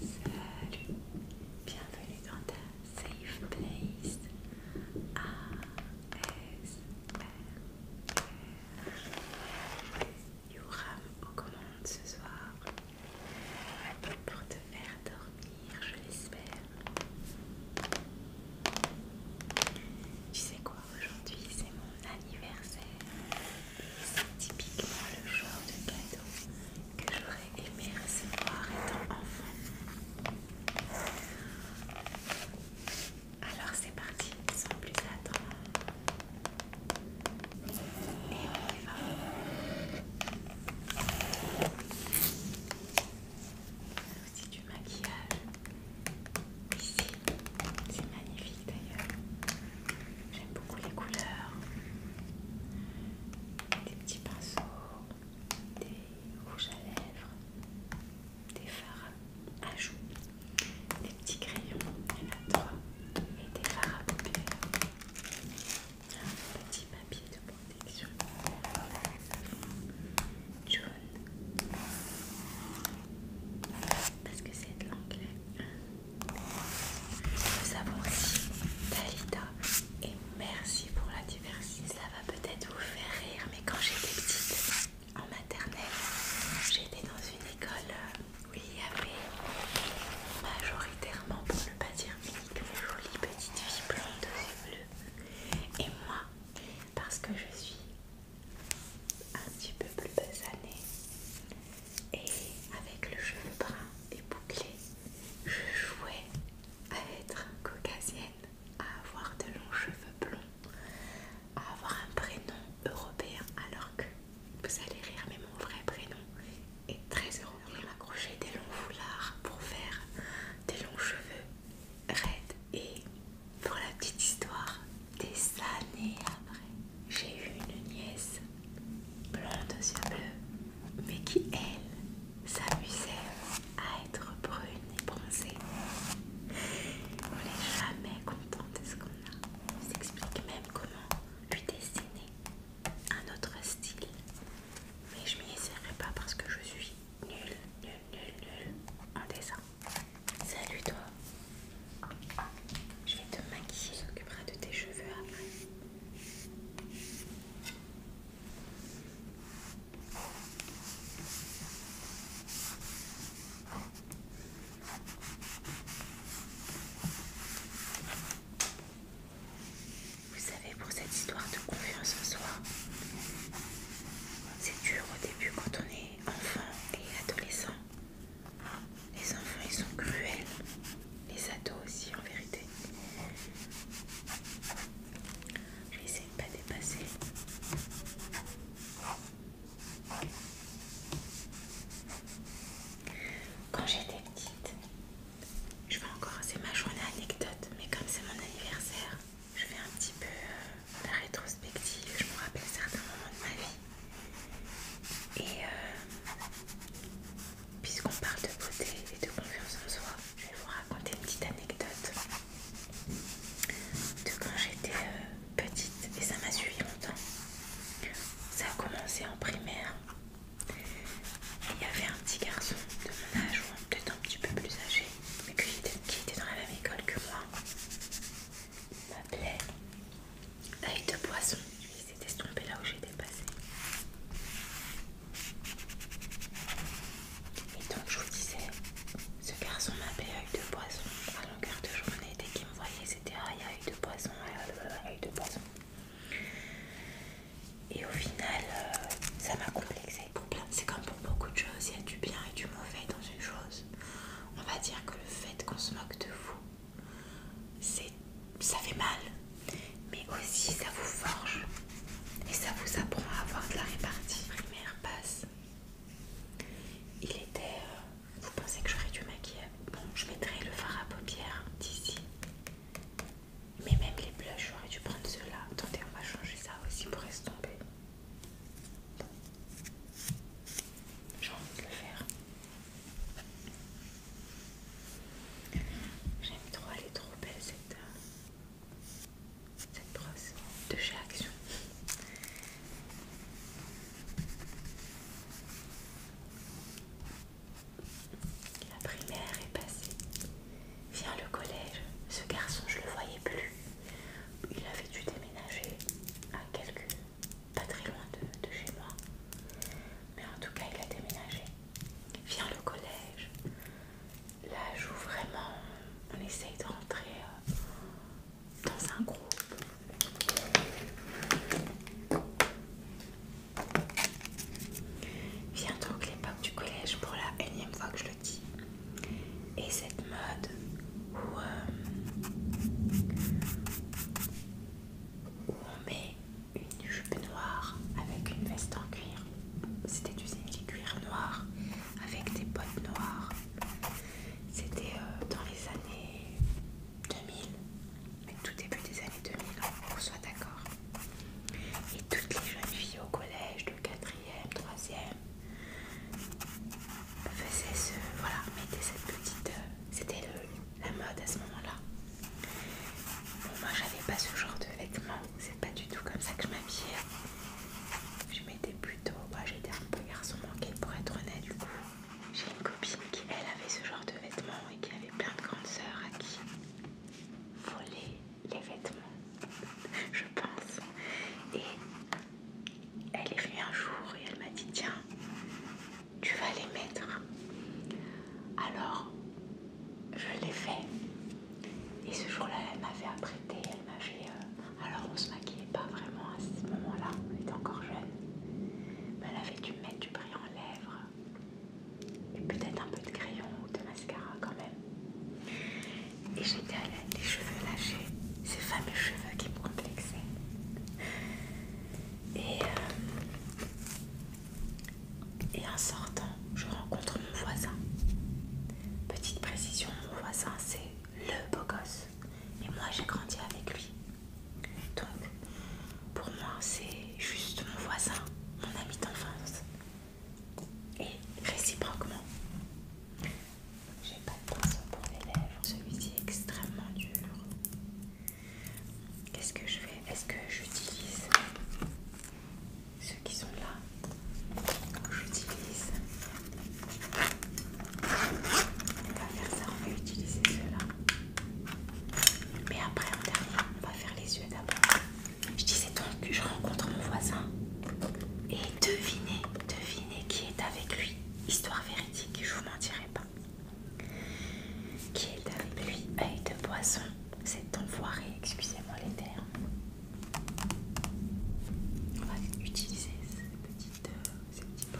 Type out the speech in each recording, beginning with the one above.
Salut, bienvenue dans ta safe place ASMR. Yoram aux commandes ce soir pour te faire dormir, je l'espère. Tu sais quoi, aujourd'hui c'est mon anniversaire c'est typiquement le genre de cadeau que j'aurais aimé recevoir étant enfant. Alors c'est parti, sans plus attendre. Et on y va. Aussi du maquillage. Ici, c'est magnifique d'ailleurs. J'aime beaucoup les couleurs. Des petits pinceaux, des rouges à lèvres, des fards à joues, des petits crayons, il y en et des fards à paupières. Un petit papier de protection jaune parce que c'est de l'anglais nous avons aussi Dalida et merci pour la diversité. Ça va peut-être vous faire rire, mais quand j'étais petite en maternelle, j'étais dans une école euh, où il y avait majoritairement, pour ne pas dire de jolies petites filles blondes aux Et moi, parce que je suis un petit peu plus basanée, et avec le cheveu brun et bouclé, je jouais à être caucasienne, à avoir de longs cheveux blonds, à avoir un prénom européen alors que vous allez rire mais mon vrai prénom est très européen. m'accrochais des longs foulards pour faire des longs cheveux raides et pour la petite histoire, des années après, j'ai eu une nièce blonde aux yeux bleus mais qui, elle, s'amusait à être brune et bronzée. On n'est jamais content de ce qu'on a. s'explique même comment lui dessiner un autre style. Mais je m'y essaierai pas parce que je suis nulle, nulle, nulle, nulle en dessin. Salut toi Je vais te maquiller, s'occupera de tes cheveux après. Vous savez, pour cette histoire de confiance en soi, c'est dur au début quand on est enfant et adolescent. Les enfants, ils sont cruels. Les ados aussi, en vérité. Je vais pas dépasser. Quand j'étais petite, je vais encore, c'est ma journée anecdote, mais comme c'est mon anniversaire, je fais un petit peu euh, la rétrospective, je me rappelle certains moments de ma vie. Et euh, puisqu'on parle de beauté et de confiance en soi, je vais vous raconter une petite anecdote de quand j'étais euh, petite et ça m'a suivi longtemps. Ça a commencé en primaire. Il y avait un petit garçon de mon âge, ou peut-être un petit peu plus âgé, mais qui était, dans la même école que moi. Il m'appelait Aïe de poisson s'est estompé là où j'étais passée. Et donc je vous disais, ce garçon m'appelait œil de poisson à longueur de journée. Dès qu'il me voyait, c'était aïe œil de poisson, œil de poisson. Et au final, euh, ça m'a complexé. C'est comme pour beaucoup de choses, il y a du bien et du mauvais dans une chose. On va dire que le fait qu'on se moque de vous ça fait mal, mais aussi ça vous forge et ça vous apprend à avoir de la répartie. Primaire passe. Il était. Euh, vous pensez que j'aurais dû maquiller Bon, je mettrai le fard à paupières d'ici. Mais même les blushs, j'aurais dû prendre ceux-là. Attendez, on va changer ça aussi pour estomper. J'ai envie de le faire. J'aime trop, elle est trop belle euh, cette, brosse de chez Action. La primaire est passée. Vient le collège. Ce garçon, je le voyais plus. Il avait dû déménager à quelques... pas très loin de chez moi mais en tout cas il a déménagé. Viens le collège. Là joue vraiment on essaye de rentrer euh, dans un groupe. Viens donc l'époque du collège pour la énième fois que je le dis. Et cette mode où, euh, où on met une jupe noire avec une veste en cuir. C'était du simili cuir noir avec des bottes noires. C'était euh, dans les années 2000, tout début des années 2000, hein, on soit d'accord. Et toutes les jeunes filles au collège de 4e, 3e faisaient ce. Voilà, mettaient cette petite. Euh, c'était la mode à ce moment-là. Bon, moi j'avais pas ce genre de vêtements, c'est pas du tout comme ça que je m'habillais. Je m'étais plutôt. Moi j'étais un peu garçon manqué pour être honnête, du coup. J'ai une copine qui, elle, avait ce genre de vêtements et qui avait plein de grandes sœurs à qui voler les vêtements, je pense. Et elle est venue un jour et elle m'a dit Tiens, tu vas les mettre. Alors, je l'ai fait. Et ce jour-là, elle m'avait apprêté, elle m'avait... Euh, alors, on se maquillait pas vraiment à ce moment-là, on était encore jeune. Mais elle avait dû mettre du brillant en lèvres. Et peut-être un peu de crayon ou de mascara quand même. Et j'étais à l'aide, les cheveux lâchés, ces fameux cheveux qui me complexaient. Et euh, et en sortant, je rencontre mon voisin. Petite précision, mon voisin c'est le beau gosse. Et moi j'ai grandi avec lui. Donc pour moi c'est juste mon voisin, mon ami d'enfance. Et réciproquement. J'ai pas de poisson pour les lèvres, celui-ci est extrêmement dur. Qu'est-ce que je fais Est-ce que j'utilise ceux qui sont là J'utilise. On va faire ça, on va utiliser ceux-là. Mais après, en dernier, on va faire les yeux d'abord. Je disais donc que je rencontre mon voisin. Et devinez, devinez qui est avec lui. Histoire véridique, je vous mentirai pas qui est la pluie et de poisson. C'est enfoiré, excusez-moi les termes. On va utiliser ces petites, euh,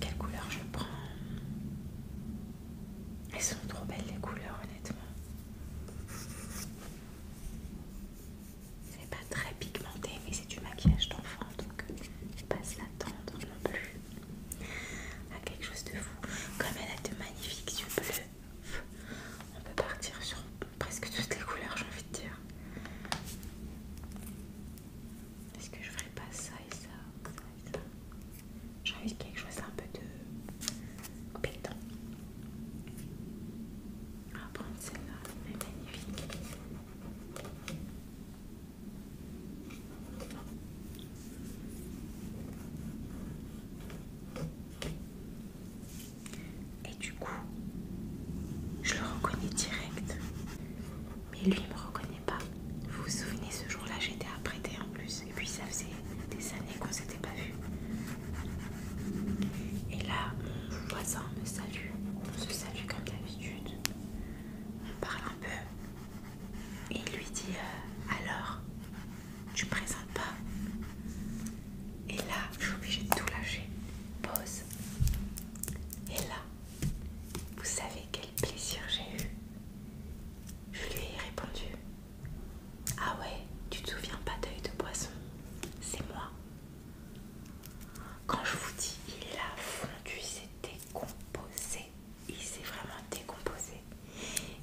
Quelle couleur je prends Elles sont trop belles les couleurs, honnêtement. C'est pas très pigmenté, mais c'est du maquillage d'enfant, donc je passe la tendre non plus à quelque chose de fou. Comme elle a de magnifiques yeux bleus, on peut partir sur presque toutes les couleurs, j'ai envie de dire. Est-ce que je ferais pas ça et ça, J'ai envie de quelque chose un peu de pétant. Ah, on va prendre celle-là, elle est magnifique. Et du coup, je le reconnais direct. Mais lui, il me reconnaît pas. Vous vous souvenez, ce jour-là, j'étais apprêtée en plus. Et puis, ça faisait des années qu'on s'était pas vus. Et là, mon voisin me salue. On se salue comme d'habitude. On parle un peu il lui dit euh, Alors, tu présentes pas Et là, je suis obligée de tout lâcher. Pause. Et là, vous savez quel plaisir j'ai eu. Je lui ai répondu Ah ouais, tu te souviens pas d'œil de poisson C'est moi. Quand je vous dis, il a fondu, c'était composé, Il s'est vraiment décomposé.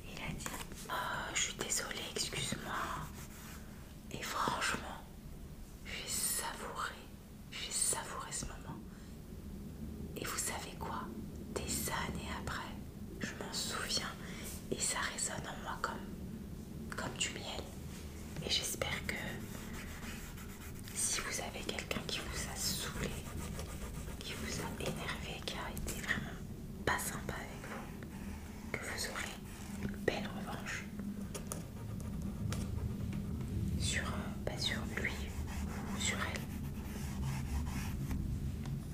Il a dit oh, Je suis désolée, excuse-moi. Et franchement, j'ai savouré. J'ai savouré ce moment. Et vous savez quoi Des années après, je m'en souviens et ça résonne en moi comme, comme du miel. Et j'espère que si vous avez quelqu'un qui vous a saoulé, qui vous a énervé, qui a été vraiment pas sympa avec vous, que vous aurez une belle revanche sur, euh, bah, sur lui ou sur elle.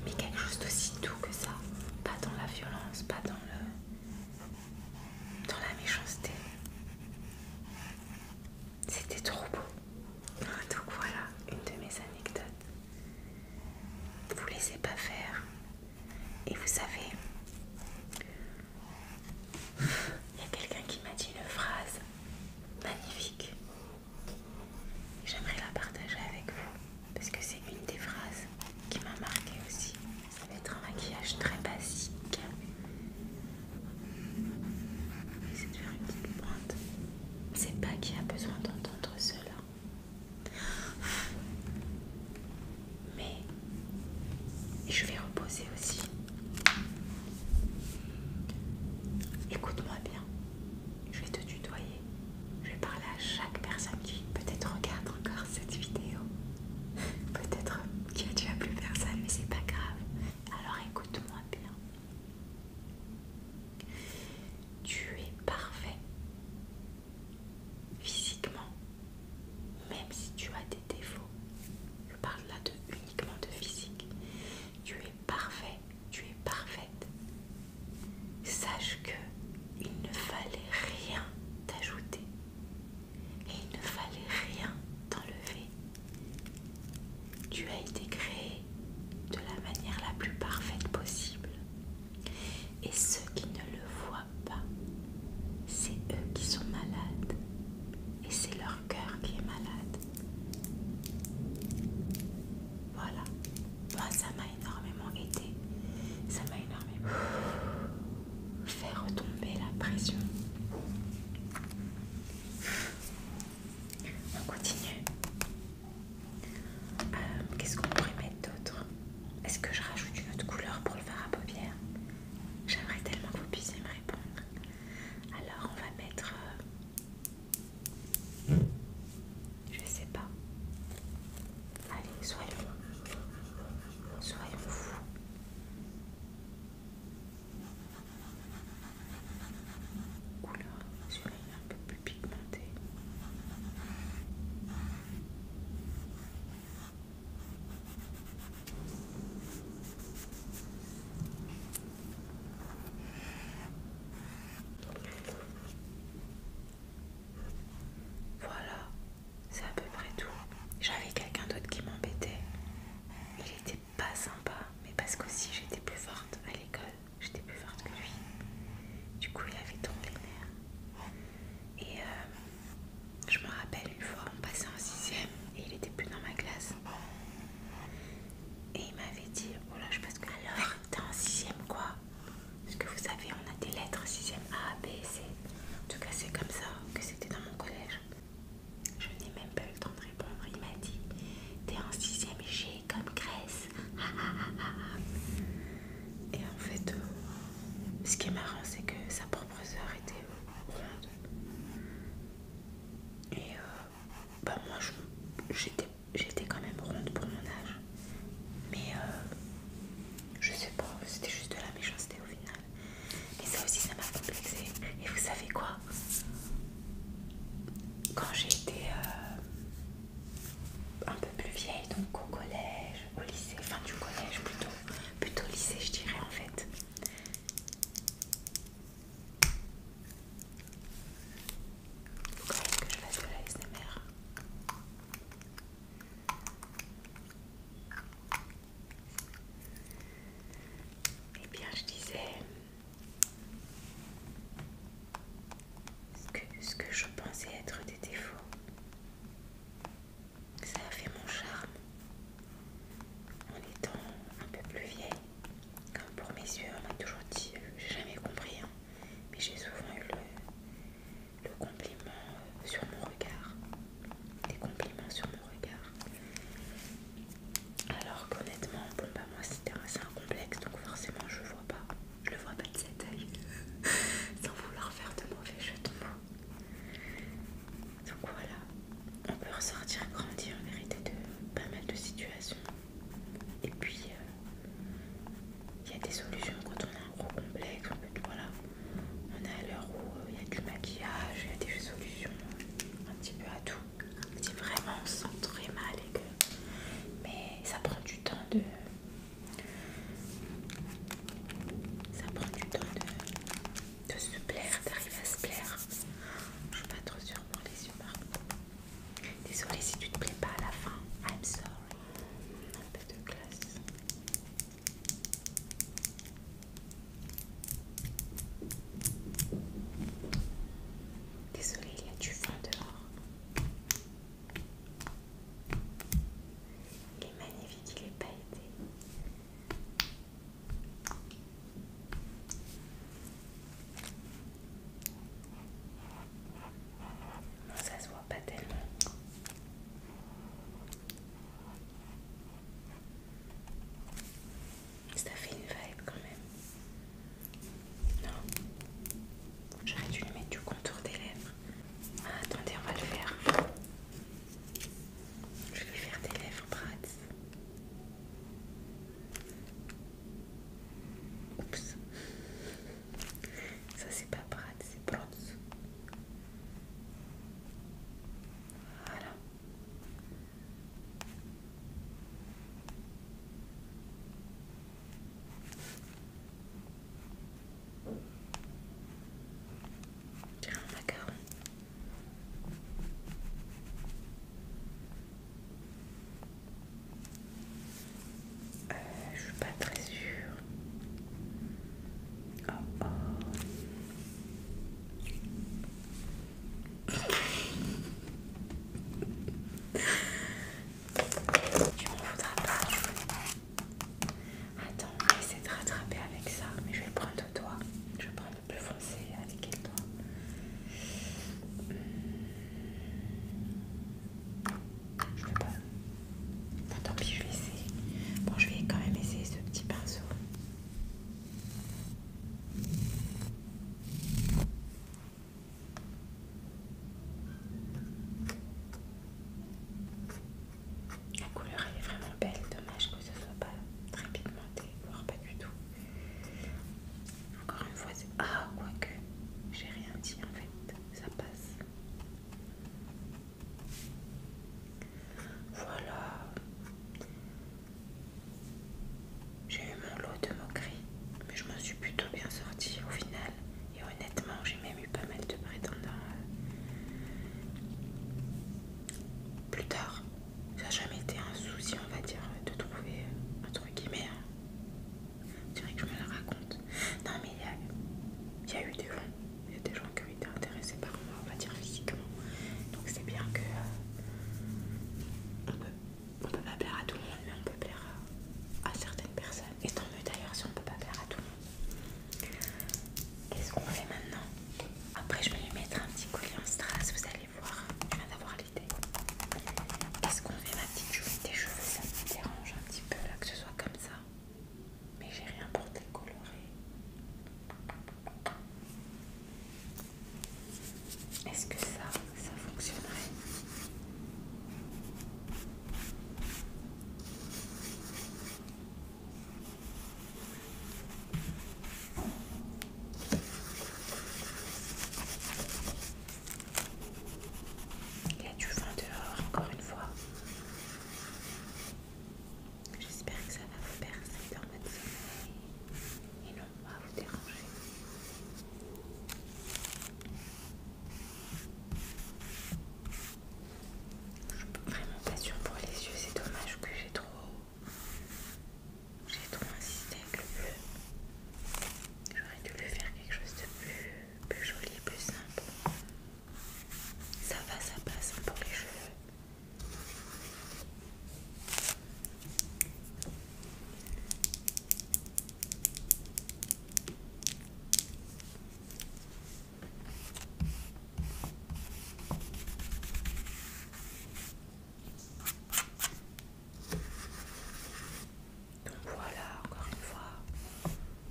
Mais quelque chose d'aussi doux que ça, pas dans la violence, pas dans le dans la méchanceté. C'était trop beau. Donc voilà une de mes anecdotes. Vous laissez pas faire. Et vous savez, il y a quelqu'un qui m'a dit une phrase magnifique. J'aimerais la partager avec vous parce que c'est une des phrases qui m'a marquée aussi. Ça va un maquillage très basique. J'essaie de faire une petite pointe. C'est pas qui a besoin d'entendre cela. Mais je vais reposer aussi. Écoute-moi bien. Je vais te tutoyer. Je vais parler à chaque personne qui peut-être regarde encore cette vidéo. Peut-être qu'il n'y a plus personne, mais c'est pas grave. Alors écoute-moi bien tu es parfait physiquement, même si tu as des défauts. Je parle là de, uniquement de physique. Tu es parfait, tu es parfaite. Sache que il ne fallait rien t'ajouter et il ne fallait rien t'enlever tu as été créé de la manière la plus parfaite possible. Et ceux qui ne le voient pas, c'est eux qui sont malades. Et c'est leur cœur qui est malade. Voilà. ça m'a énormément aidé. Ça m'a énormément fait retomber la pression. On continue. Euh, qu'est-ce qu'on pourrait mettre d'autre Est-ce que je rajoute une autre couleur pour le faire à paupières J'aimerais tellement que vous puissiez me répondre. Alors on va mettre... Euh, je sais pas. Allez, soyons... Soyons fous couleur, celui-là un peu plus pigmenté. Voilà, c'est à peu près tout. J'avais quelqu'un d'autre qui m'embêtait. Il était pas sympa, mais parce aussi j'étais plus forte à l'école j'étais plus forte que lui. Du coup, il avait tombé les nerfs. Et euh, je me rappelle une fois, on passait en 6 sixième et il était plus dans ma classe. Et il m'avait dit, oh là, je pense que alors, t'es en sixième quoi Parce que vous savez, on a des lettres sixième A, B, C. En tout cas, c'est comme ça que c'était dans mon collège. Je n'ai même pas eu le temps de répondre. Il m'a dit, t'es en 6ème sixième j'ai comme graisse. Et en fait, euh, ce qui est marrant, c'est que sa propre sœur était ronde. Et euh, bah moi, j'étais quand même ronde pour mon âge. Mais euh, je sais pas, c'était juste de la méchanceté au final. Mais ça aussi, ça m'a complexée. Et vous savez quoi Quand j'ai été un peu plus vieille, donc au collège, au lycée, enfin du collège plutôt, plutôt lycée je dirais en fait. je Eh bien je disais ce que, je pensais être des défauts. Ça a fait mon charme. En étant un peu plus vieille, comme pour mes yeux, on m'a toujours dit, j'ai jamais compris, hein. mais j'ai souvent eu le, compliment euh, sur mon regard. Des compliments sur mon regard. Alors qu'honnêtement, bon bah moi c'était un, un donc forcément je vois pas, je le vois pas de cet œil, sans vouloir faire de mauvais jetons. Donc voilà, on peut ressortir grandir en vérité de pas mal de situations. Et puis euh, il y a des solutions quand on a un gros complexe, voilà, on est à l'heure où euh, il y a du maquillage, il y a des solutions un petit peu à tout si vraiment on se sent très mal et que... Mais ça prend du temps de... Ça prend du temps de, de se plaire, d'arriver à se plaire. Je suis pas trop sûre pour les humains. Désolée si tu te plais pas à la fin. I'm sorry. Un peu de classe. Désolée, il y a du vent dehors. Il est magnifique, il est pailleté. ça se voit pas tellement. Ça fait une vibe quand même. Non. J'aurais dû mettre du contour des lèvres. Ah, attendez, on va le faire. Je vais faire des lèvres brades. Oups. Ça c'est pas brades, c'est bronze. Voilà. Euh, je suis pas très sûre. Oh, oh. Tu m'en voudras pas. Attends, on va essayer de rattraper avec ça, mais je vais prendre de toi. Je vais prendre le plus foncé avec le doigt hmm. Je peux pas. tant pis, je vais essayer. Bon, je vais quand même essayer ce petit pinceau. La couleur est vraiment belle, dommage que ce soit pas très pigmenté, voire pas du tout. Encore une fois, c'est... Ah, quoique, j'ai rien dit en fait, ça passe. Voilà. J'ai eu mon lot de moqueries, mais je m'en suis plutôt bien sortie au final. Et honnêtement, j'ai même eu pas mal de prétendants. Plus tard, ça n'a jamais été un souci, on va dire, de trouver, un hein. truc c'est vrai que je me le raconte. Non, mais il y, a eu des gens, il y a des gens qui ont été intéressés par moi, on va dire physiquement. Donc c'est bien que euh, on peut pas plaire à tout le monde, mais on peut plaire à, certaines personnes. Et tant mieux d'ailleurs si on peut pas plaire à tout le monde. Qu'est-ce qu'on fait maintenant Après, je vais lui mettre un petit collier en strass, vous allez voir. Je viens d'avoir l'idée. Est-ce qu'on fait ma petite jolie des cheveux Ça me dérange un petit peu là que ce soit comme ça. Mais j'ai rien pour décolorer. Est-ce que ça ça fonctionnerait. Il y a du vent dehors encore une fois. J'espère que ça va vous percer dans votre sommeil et non pas vous déranger. Je peux vraiment pas sûr pour les yeux, c'est dommage que j'ai trop. insisté avec le bleu. J'aurais dû lui faire quelque chose de plus, plus joli, plus simple. Ça va, ça passe pour les cheveux. Donc voilà, encore une fois,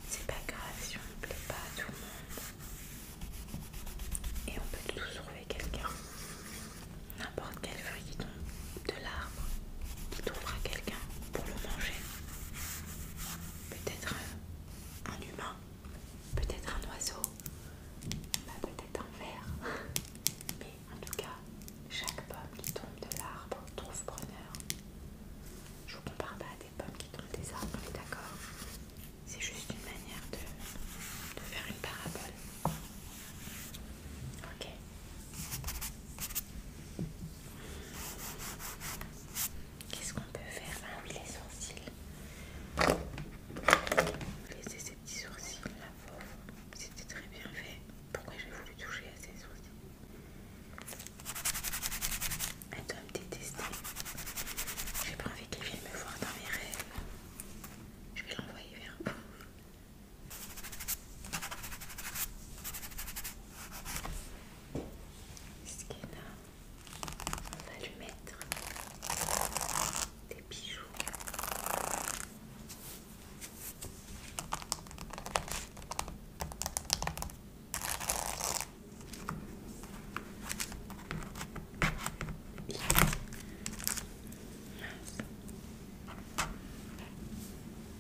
c'est pas grave si on ne plaît pas à tout le monde. Et on peut toujours trouver quelqu'un. N'importe quel fruit, de l'arbre qui trouvera quelqu'un pour le manger. Peut-être un, humain, peut-être un oiseau, bah, peut-être un ver. Mais en tout cas, chaque pomme qui tombe de l'arbre trouve preneur. Je vous compare pas à des pommes qui tombent des arbres, on est d'accord C'est juste une manière de faire une parabole. Ok. Qu'est-ce qu'on peut faire Ah oui, les sourcils. Laissez ces petits sourcils là, pauvre. C'était très bien fait. Pourquoi j'ai voulu toucher à ces sourcils Elle doit me détester. J'ai pas envie qu'elle vienne me voir dans mes rêves. Je vais l'envoyer vers vous. Est-ce qu'il on va lui mettre des bijoux.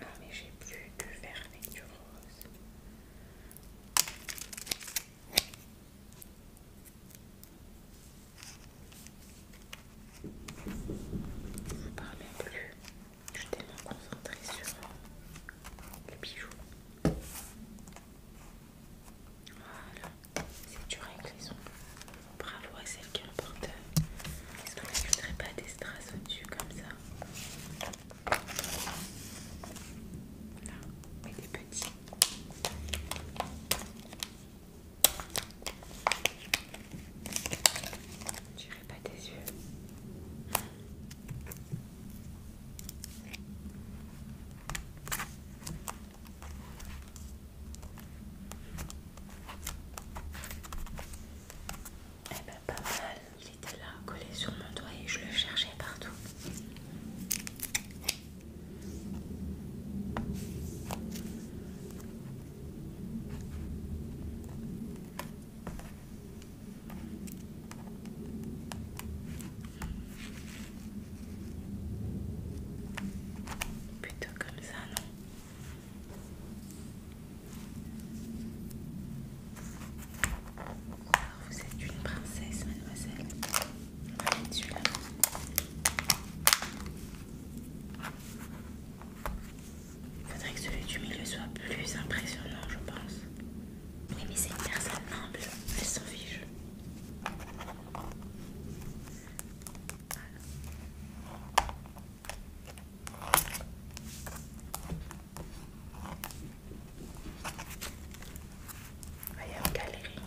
Ah mais j'ai plus de vert du rose. Je ne parlais plus. Je suis tellement concentrée sur les bijoux. Voilà, c'est dur avec les ongles. Bravo à celle qui en porte. Est-ce qu'on pas des strass au-dessus comme ça Là, mais des petits pas des yeux. Eh ben pas mal, il était là, collé sur mon doigt et je le cherchais partout. Plutôt comme ça, non vous êtes une princesse, mademoiselle. Il Faudrait que celui du milieu soit plus impressionnant, je pense. Oui, mais c'est une personne humble, elle s'en fiche. Voilà. Voyez, une galerie.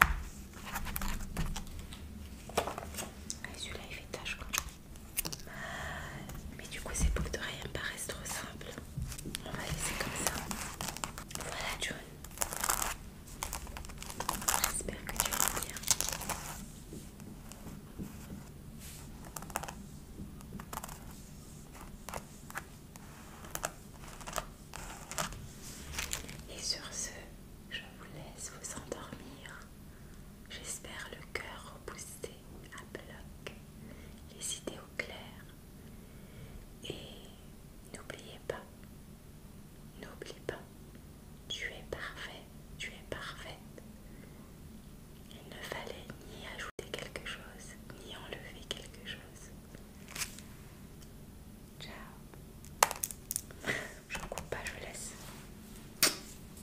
Ah, celui-là, il fait tâche quoi. Mais du coup, c'est ces boucles rien rien paraissent trop simple. On va laisser comme ça. Voilà, John. J'espère que tu vas bien. Et sur ce, je vous laisse vous endormir. J'espère le cœur reboosté à bloc, les idées au clair. Et n'oubliez pas, n'oubliez pas, tu es parfait, tu es parfaite. Il ne fallait ni ajouter quelque chose, ni enlever quelque chose. Ciao. j'en coupe pas, je laisse.